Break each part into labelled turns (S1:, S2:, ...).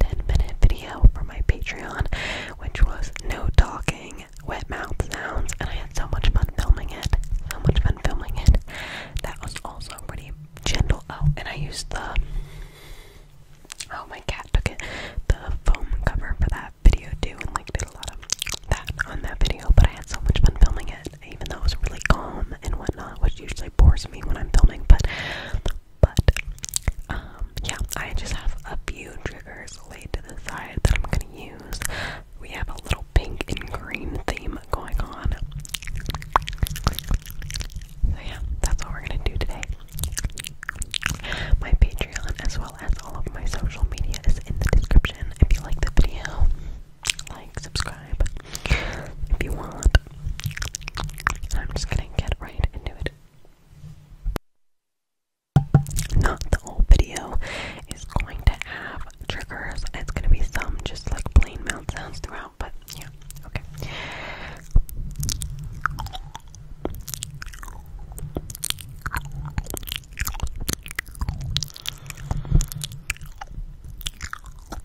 S1: 10 minute video for my Patreon, which was no talking, wet mouth sounds, and I had so much fun
S2: filming it. So much fun filming it. That was also pretty gentle. Oh, and I
S3: used the. Oh, my cat took it. The foam cover for that video too, and like did a lot of that on that video. But I had so much fun filming it, even though it was really calm and whatnot, which usually bores me when I'm filming. But but um yeah, I just have a few triggers laid to the side that I'm gonna use. We have a little pink and green theme going on. So yeah, that's what we're gonna do today. My Patreon as well as all of my social media is in the description. If you like the video, like, subscribe if you want. I'm just gonna get right into it. Not the whole video is going to have triggers. It's gonna be some just like plain mouth sounds throughout, but yeah, okay.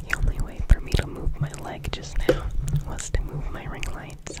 S3: the only way for me to move my leg just now was to move my ring lights.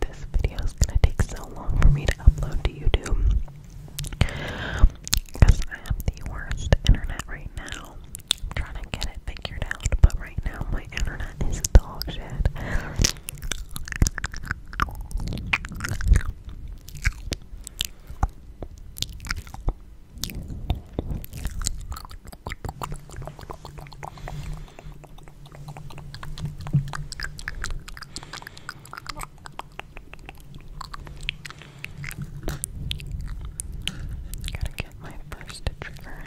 S3: this video is gonna take so long for me to upload to YouTube because I have the worst internet right now. trying to get it figured out, but right now my internet is dog shit. Gotta get my first trigger. Okay.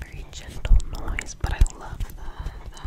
S3: Very gentle noise, but I love the,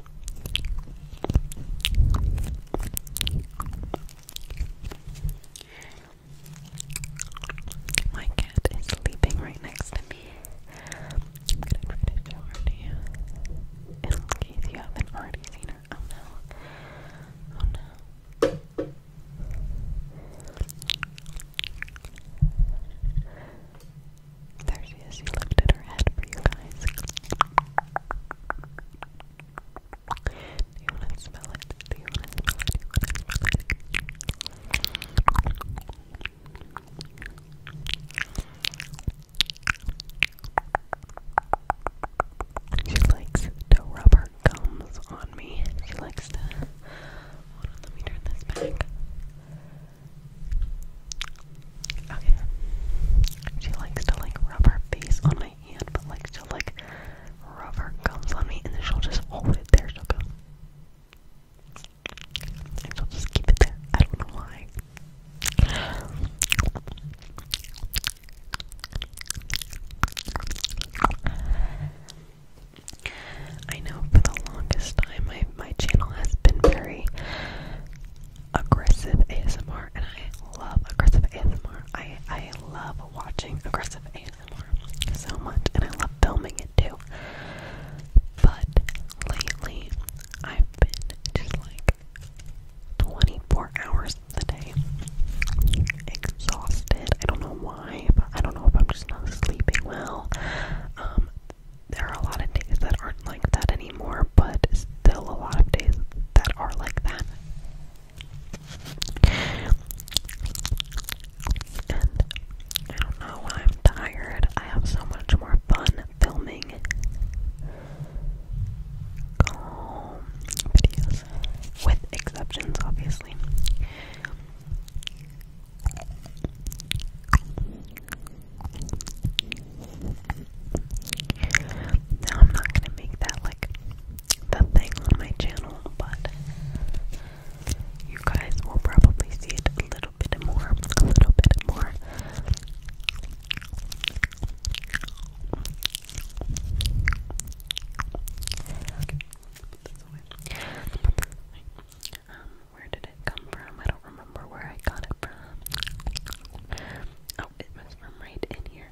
S3: My cat is sleeping right next to me. I'm gonna try to her In case you haven't already seen her. Oh no.
S4: Oh no. There she She lifted her head for you guys. Do you want to smell it? Do you want to She likes to rub her gums on me. She likes to. let me turn this back. She likes to like rub her face on my hand, but likes to like rub her gums on me, and then she'll just hold it there. She'll go. And she'll just keep it there. I don't know why. I know for the longest time my my channel has been very aggressive ASMR, and I love aggressive ASMR. I I love watching aggressive ASMR so much, and I love filming it too. But lately, I've been just like 24 hours a day, exhausted. I don't know why. But I don't know if I'm just not sleeping well. Um, there are a lot of days that aren't like that anymore, but still a lot of days that are like that. I don't know I'm tired, I have so much more fun filming videos, with exceptions, obviously. Now, I'm not gonna make that like the thing on my channel, but you guys will probably see it a little bit more, a little bit more. Um, where did it come from? I do remember where I got it from. Oh, it was from right in here.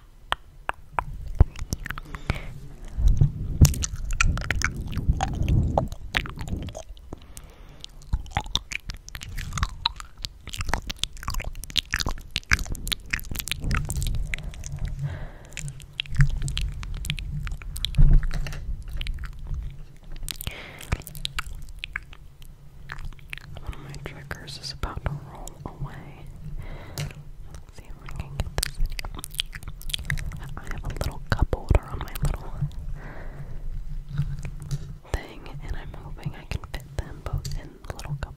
S4: One of my triggers is about to roll away. I have a little cup holder on my little thing, and I'm hoping I can fit them both in the little cup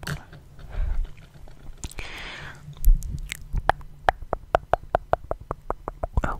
S4: Oh,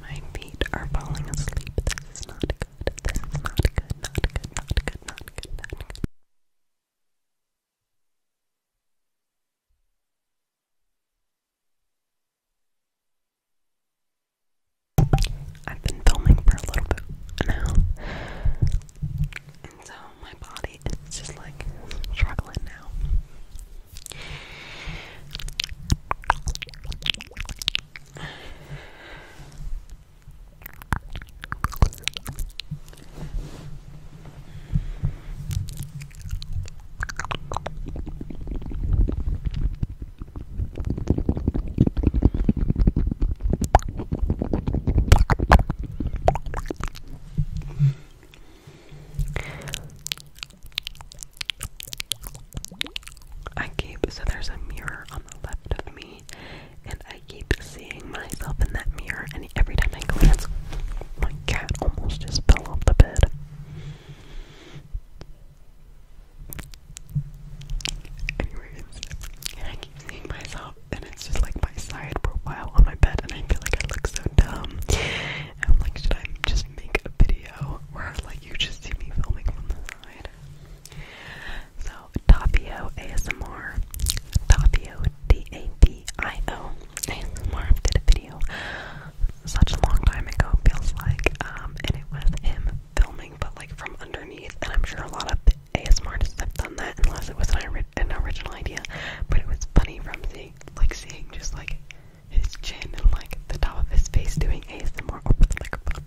S4: My feet are falling asleep. This is not good. This is not good. Not good. Not good. Not good. Not good. I've been filming for a little bit now. And so my body is just like struggling now. I keep so there's a mirror on the left of me, and I keep seeing myself in that mirror. And every time I glance, my cat almost just fell off the bed. Anyways, I keep seeing myself, and it's just like my side profile on my bed, and I feel like I look so dumb. I'm like, should I just make a video where like you just see me filming from the side? So Tapio ASMR, Tapio D A P I O ASMR did a video such a long time ago, feels like, um, and it was him filming but like from underneath. And I'm sure a lot of ASMR artists have done that, unless it was an, an original idea. But it was funny from seeing, like seeing just like his chin and like the top of his face doing ASMR over the microphone.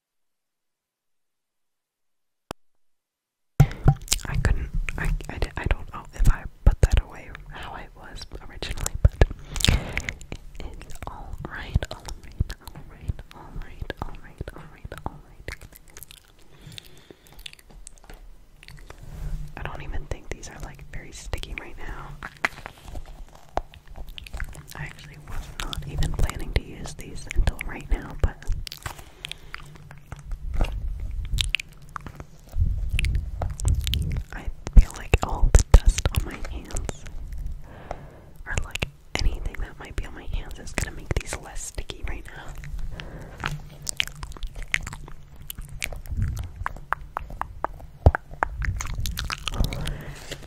S4: I couldn't, I, I, don't know if I put that away how I was originally, but it's alright, alright, alright, alright, alright, alright. I don't even think these are like very sticky right now. I actually was not even planning to use these until right now, but I feel like all the dust on my hands, or like anything that might be on my hands, is gonna make these less sticky right now.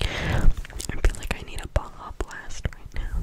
S4: I feel like I need a Baja blast right now.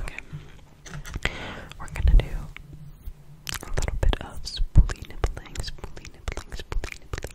S4: Okay. We're gonna do a little bit of spoolie nibbling, spoolie nibbling, spoolie nibbling,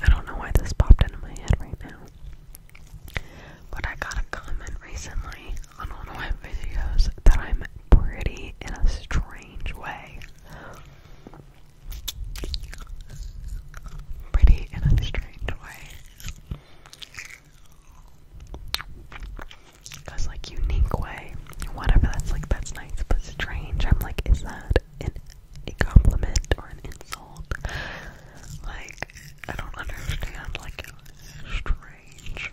S4: I don't know why this popped into my head right now. But I got a comment recently on one of my videos that I'm pretty in a strange way. Pretty in a strange way. That's like, unique way, whatever, that's like, that's nice, but strange. I'm like, is that a compliment or an insult? Like, I don't understand, like, it's strange.